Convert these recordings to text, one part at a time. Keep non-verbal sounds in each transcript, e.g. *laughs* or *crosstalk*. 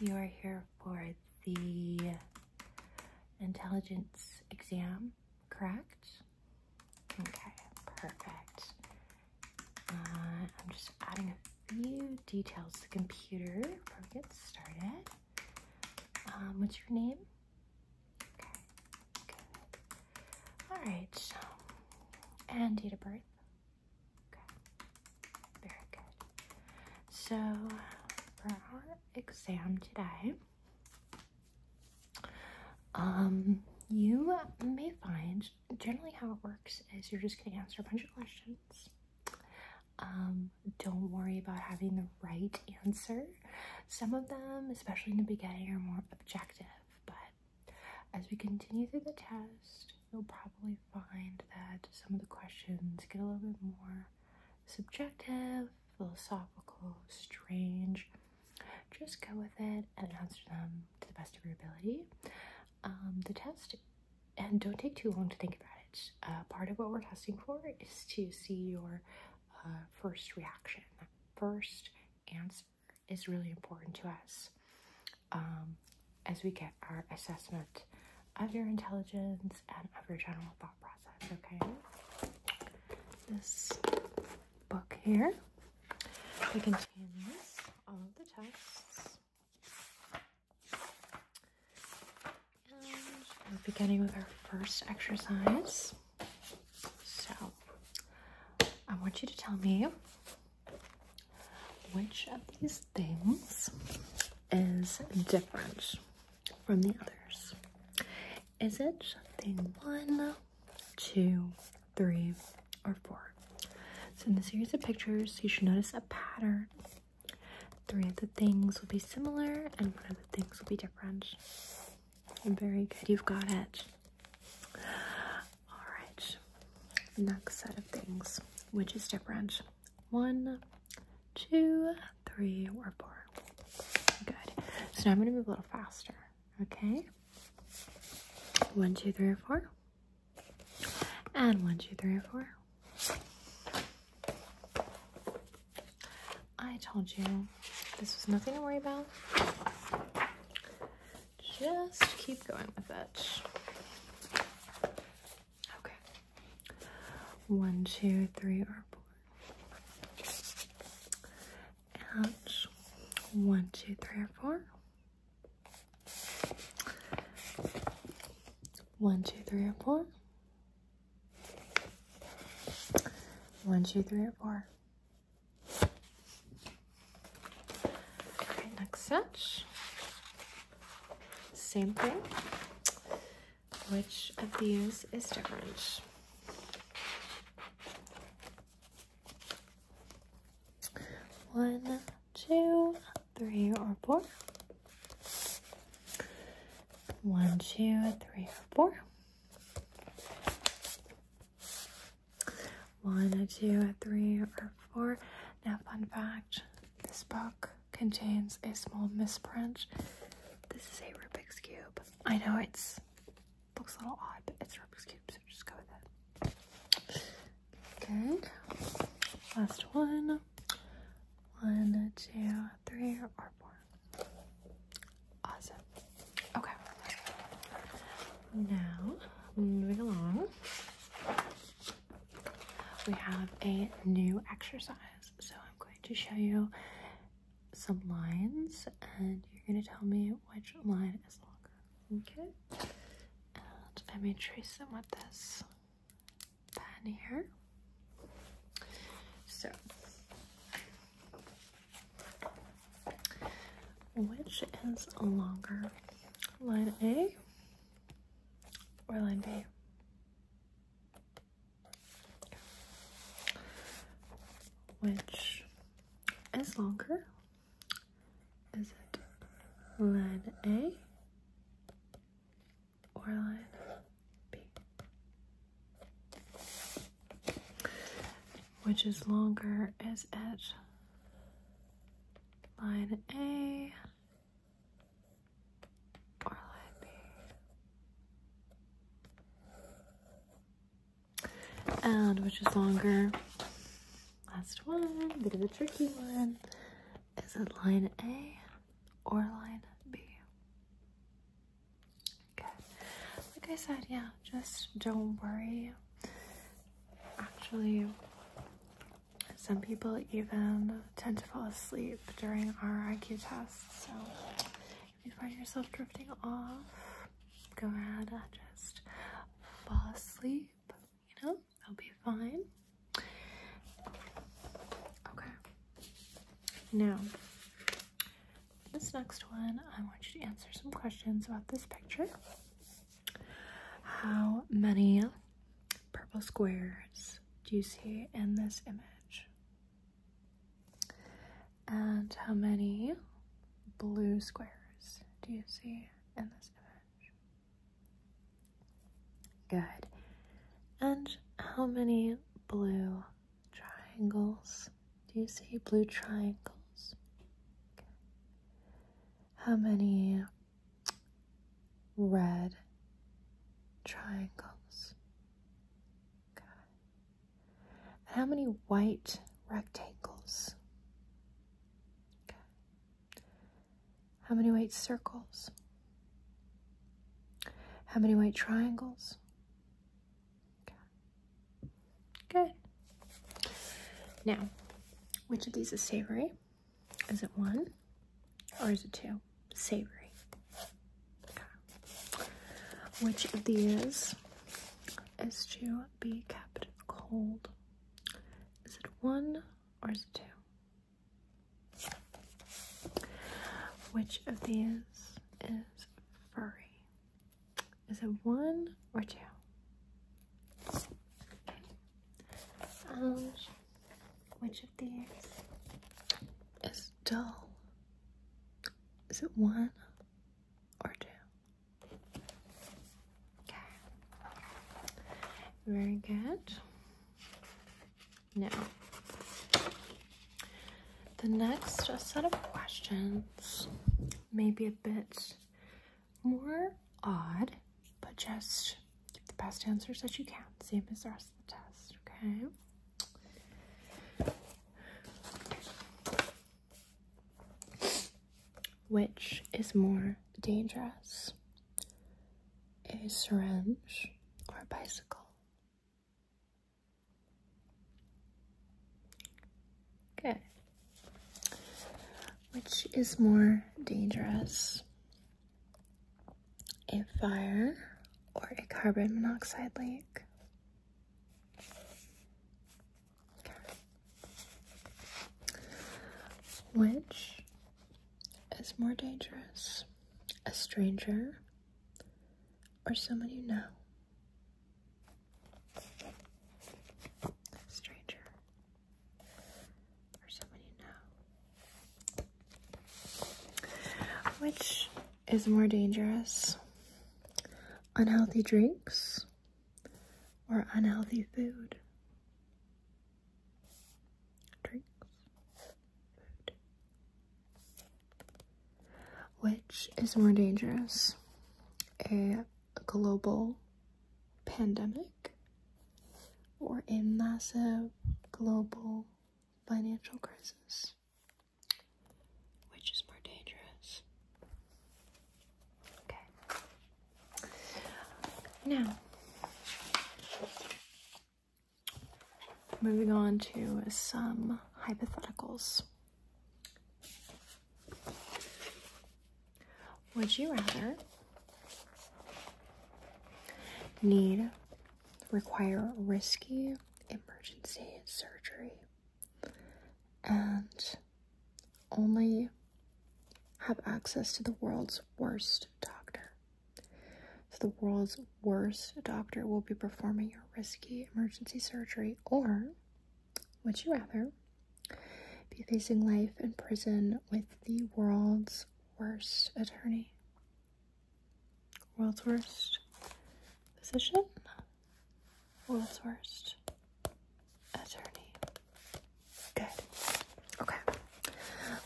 You are here for the intelligence exam, correct? Okay, perfect. Uh, I'm just adding a few details to the computer before get started. Um, what's your name? Okay, All right, and date of birth. Okay. Very good. So for our exam today, um, you may find generally how it works is you're just gonna answer a bunch of questions. Um, don't worry about having the right answer. Some of them, especially in the beginning, are more objective, but as we continue through the test, you'll probably find that some of the questions get a little bit more subjective, philosophical, strange. Just go with it and answer them to the best of your ability. Um, the test, and don't take too long to think about it. Uh, part of what we're testing for is to see your uh, first reaction. The First answer is really important to us um, as we get our assessment of your intelligence and of your general thought process, okay? This book here, it contains all of the tests. we're beginning with our first exercise. So, I want you to tell me which of these things is different from the others? Is it thing one, two, three, or four? So in the series of pictures, you should notice a pattern. Three of the things will be similar and one of the things will be different. Very good, you've got it. All right, next set of things, which is different. One, two, three, or four. Good. So now I'm gonna move a little faster. Okay. One, two, three, or four. And one, two, three, or four. I told you this was nothing to worry about. Just keep going with it. Okay. One, two, three, or four. One, two, three, or four. One, two, three, or four. One, two, three, or four. next set. Same thing. Which of these is different? One, two, three, or four. One, two, three, or four. One, two, three, or four. Now, fun fact this box contains a small misprint. This is a Rubik's Cube. I know it's looks a little odd, but it's Rubik's Cube, so just go with it. Good. Last one. One, two, three, or four. Awesome. Okay. Now, moving along we have a new exercise. So I'm going to show you some lines and you're going to tell me which line is longer. Okay? And I trace them with this pen here. So, which is a longer? Line A or line B. Which is longer? Is it line A or line B? Which is longer? Is it line A or light pink. And which is longer? Last one, bit of a tricky one. Is it line A or line B? Okay. Like I said, yeah, just don't worry. Actually, some people even tend to fall asleep during our IQ tests. So if you find yourself drifting off, go ahead and just fall asleep. You know, that'll be fine. Okay. Now, this next one, I want you to answer some questions about this picture. How many purple squares do you see in this image? And how many blue squares do you see in this image? Good. And how many blue triangles do you see? Blue triangles. How many red triangles. Okay. how many white rectangles? Okay. How many white circles? How many white triangles? Okay. Good. Now, which of these is savory? Is it one or is it two? Savory. Which of these is to be kept cold? Is it one or is it two? Which of these is furry? Is it one or two? Which of these is dull? Is it one or two? Okay. Very good. Now, the next set of questions may be a bit more odd but just give the best answers that you can, same as the rest of the test, okay? Which is more dangerous? A syringe or a bicycle? Okay. Which is more dangerous? a fire or a carbon monoxide leak. Which is more dangerous? A stranger or someone you know? stranger or someone you know. Which is more dangerous? Unhealthy drinks or unhealthy food? Drinks, food. Which is more dangerous? A global pandemic or a massive global financial crisis? Which is more dangerous? Okay. Now, moving on to some hypotheticals. Would you rather Need require risky emergency surgery and only have access to the world's worst doctor. So, the world's worst doctor will be performing your risky emergency surgery, or would you rather be facing life in prison with the world's worst attorney? World's worst physician, world's worst attorney. Good. Okay.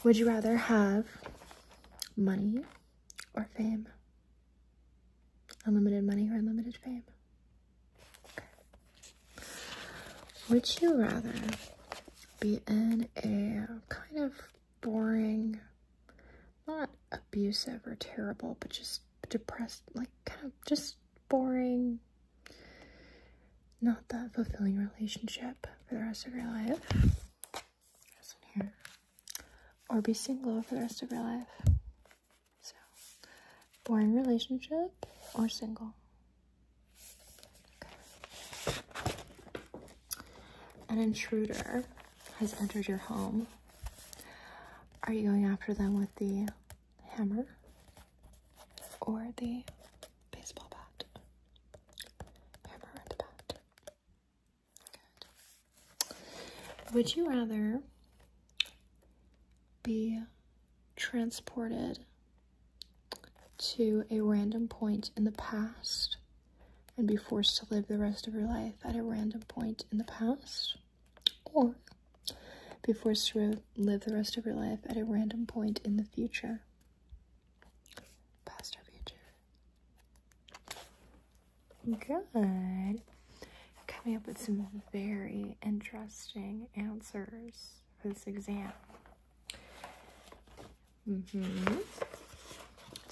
Would you rather have money or fame? Unlimited money or unlimited fame? Okay. Would you rather be in a kind of boring, not abusive or terrible, but just depressed, like kind of just boring, not that fulfilling relationship for the rest of your life. Or be single for the rest of your life. So, boring relationship or single. An intruder has entered your home. Are you going after them with the hammer or the baseball bat? Hammer and bat. Would you rather be transported to a random point in the past and be forced to live the rest of your life at a random point in the past, or be forced to live the rest of your life at a random point in the future. Past or future. Good. Coming up with some very interesting answers for this exam. Mm hmm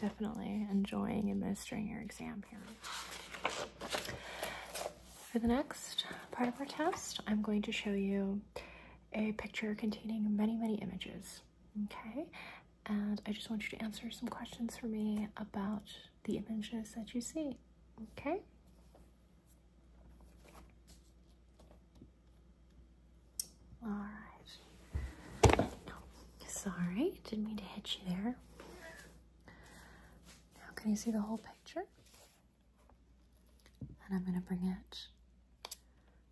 Definitely enjoying administering your exam here. For the next part of our test, I'm going to show you a picture containing many, many images, okay? And I just want you to answer some questions for me about the images that you see, okay? All right. sorry, didn't mean to hit you there. Now, can you see the whole picture? And I'm going to bring it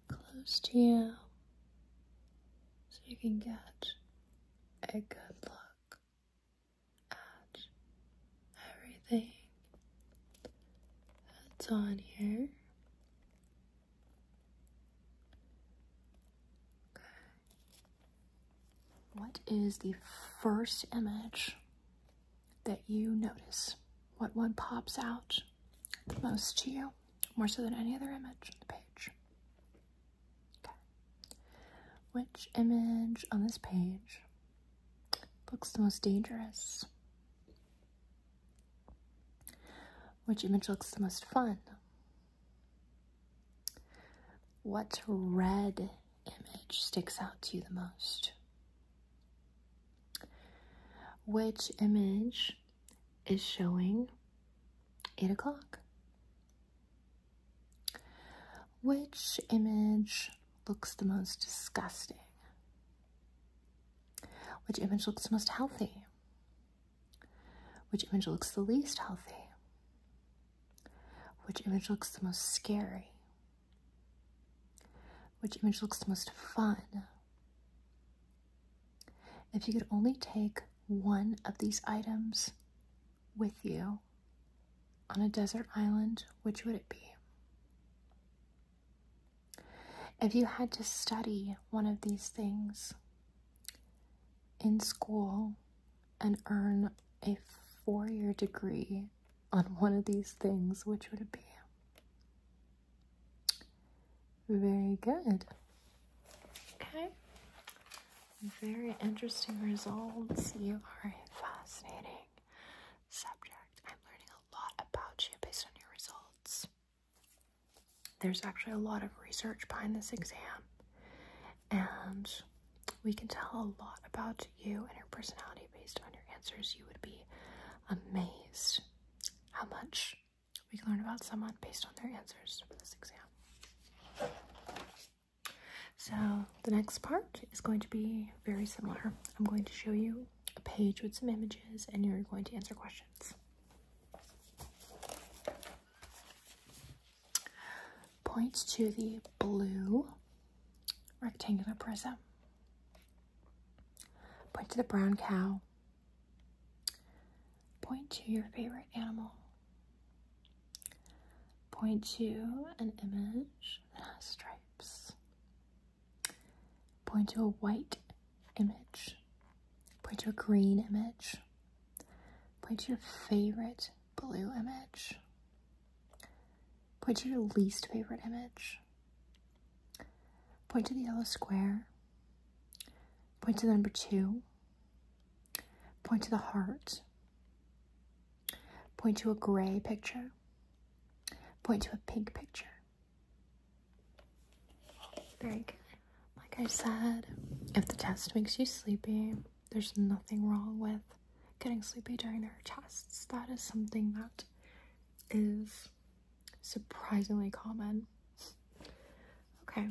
close to you so you can get a good look at everything that's on here. What is the first image that you notice? What one pops out most to you, more so than any other image on the page? Which image on this page looks the most dangerous? Which image looks the most fun? What red image sticks out to you the most? Which image is showing 8 o'clock? Which image looks the most disgusting? Which image looks the most healthy? Which image looks the least healthy? Which image looks the most scary? Which image looks the most fun? If you could only take one of these items with you on a desert island, which would it be? If you had to study one of these things in school and earn a four year degree on one of these things, which would it be? Very good. Okay. Very interesting results. You are a fascinating subject. I'm learning a lot about you based on your results. There's actually a lot of research behind this exam, and we can tell a lot about you and your personality based on your answers. You would be amazed how much we can learn about someone based on their answers for this exam. So, the next part is going to be very similar. I'm going to show you a page with some images, and you're going to answer questions. Point to the blue rectangular prism. Point to the brown cow. Point to your favorite animal. Point to an image that has stripes. Point to a white image, point to a green image, point to your favorite blue image, point to your least favorite image, point to the yellow square, point to the number two, point to the heart, point to a gray picture, point to a pink picture, very good. Like I said, if the test makes you sleepy, there's nothing wrong with getting sleepy during their tests. That is something that is surprisingly common. Okay.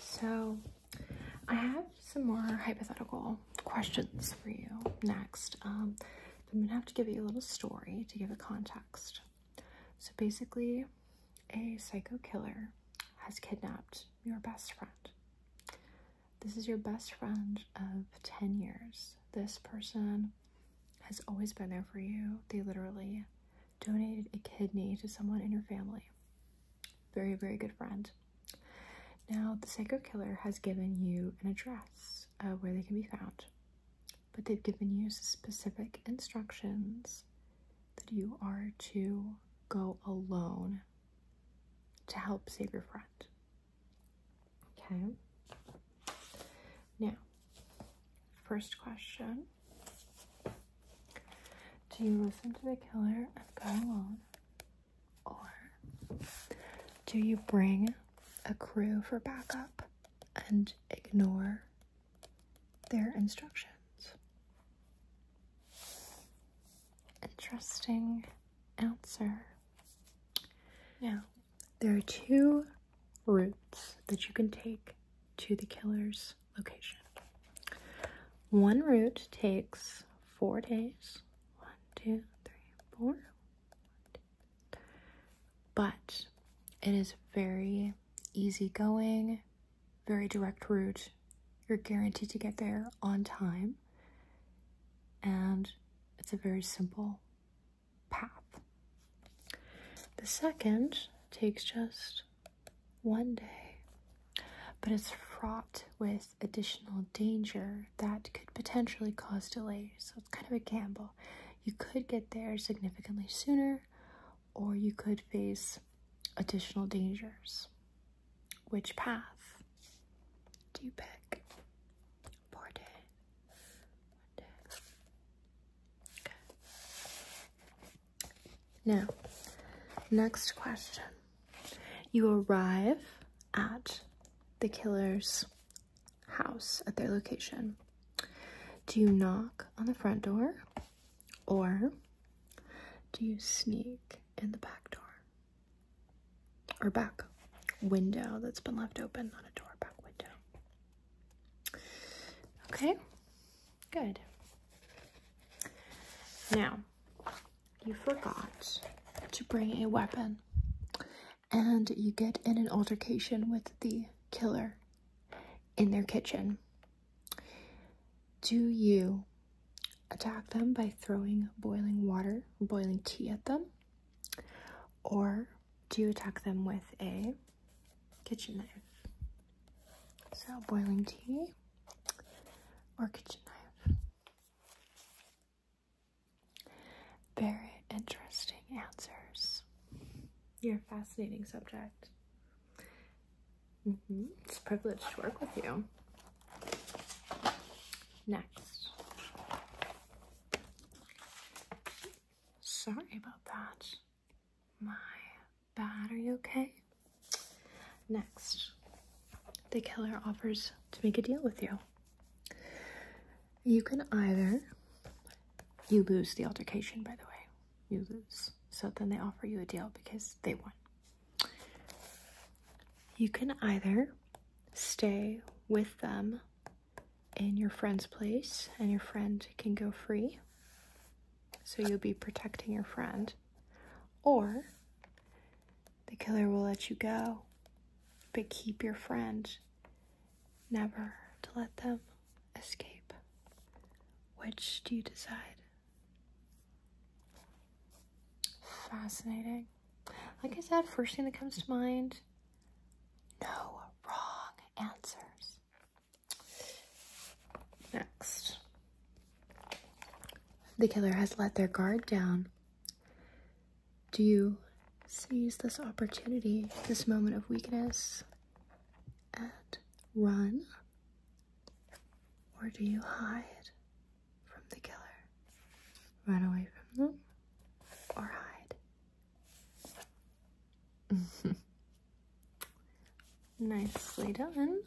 So, I have some more hypothetical questions for you next. Um, I'm gonna have to give you a little story to give it context. So basically, a psycho killer has kidnapped your best friend. This is your best friend of 10 years. This person has always been there for you. They literally donated a kidney to someone in your family. Very, very good friend. Now, the psycho killer has given you an address where they can be found but they've given you specific instructions that you are to go alone to help save your friend. Okay. Now, first question Do you listen to the killer and go alone? Or do you bring a crew for backup and ignore their instructions. Interesting answer. Now, there are two routes that you can take to the killer's location. One route takes four days. One, two, three, four. One, two, but it is very Easy going, very direct route. You're guaranteed to get there on time, and it's a very simple path. The second takes just one day, but it's fraught with additional danger that could potentially cause delays, so it's kind of a gamble. You could get there significantly sooner, or you could face additional dangers. Which path do you pick? One day. Okay. Now, next question. You arrive at the killer's house at their location. Do you knock on the front door or do you sneak in the back door? Or back window that's been left open, not a door, back window. Okay, good. Now, you forgot to bring a weapon and you get in an altercation with the killer in their kitchen? Do you attack them by throwing boiling water, boiling tea at them? Or do you attack them with a kitchen knife? So, boiling tea or kitchen knife? Very interesting answers. You're a fascinating subject. Mm-hmm. It's a privilege to work with you. Next. Sorry about that. My bad. Are you okay? Next. The killer offers to make a deal with you. You can either. You lose the altercation, by the way you lose. So then they offer you a deal because they won. You can either stay with them in your friend's place and your friend can go free. So you'll be protecting your friend. Or the killer will let you go, but keep your friend. Never to let them escape. Which do you decide? Fascinating. Like I said, first thing that comes to mind no wrong answers. Next. The killer has let their guard down. Do you seize this opportunity, this moment of weakness, and run? Or do you hide from the killer? Run away from them or hide? *laughs* Nicely done.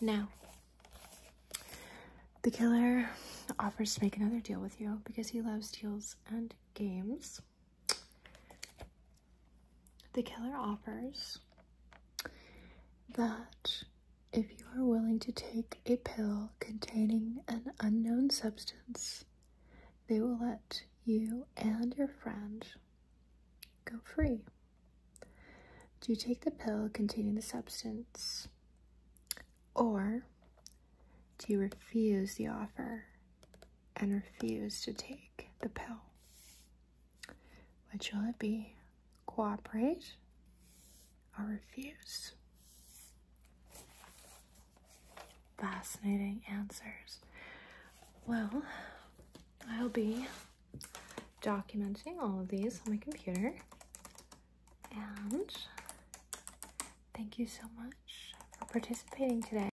Now, the killer offers to make another deal with you because he loves deals and games. The killer offers that if you are willing to take a pill containing an unknown substance, they will let you and your friend go free. Do you take the pill containing the substance? Or do you refuse the offer and refuse to take the pill. Which will it be? Cooperate or refuse? Fascinating answers. Well, I'll be documenting all of these on my computer. And thank you so much for participating today.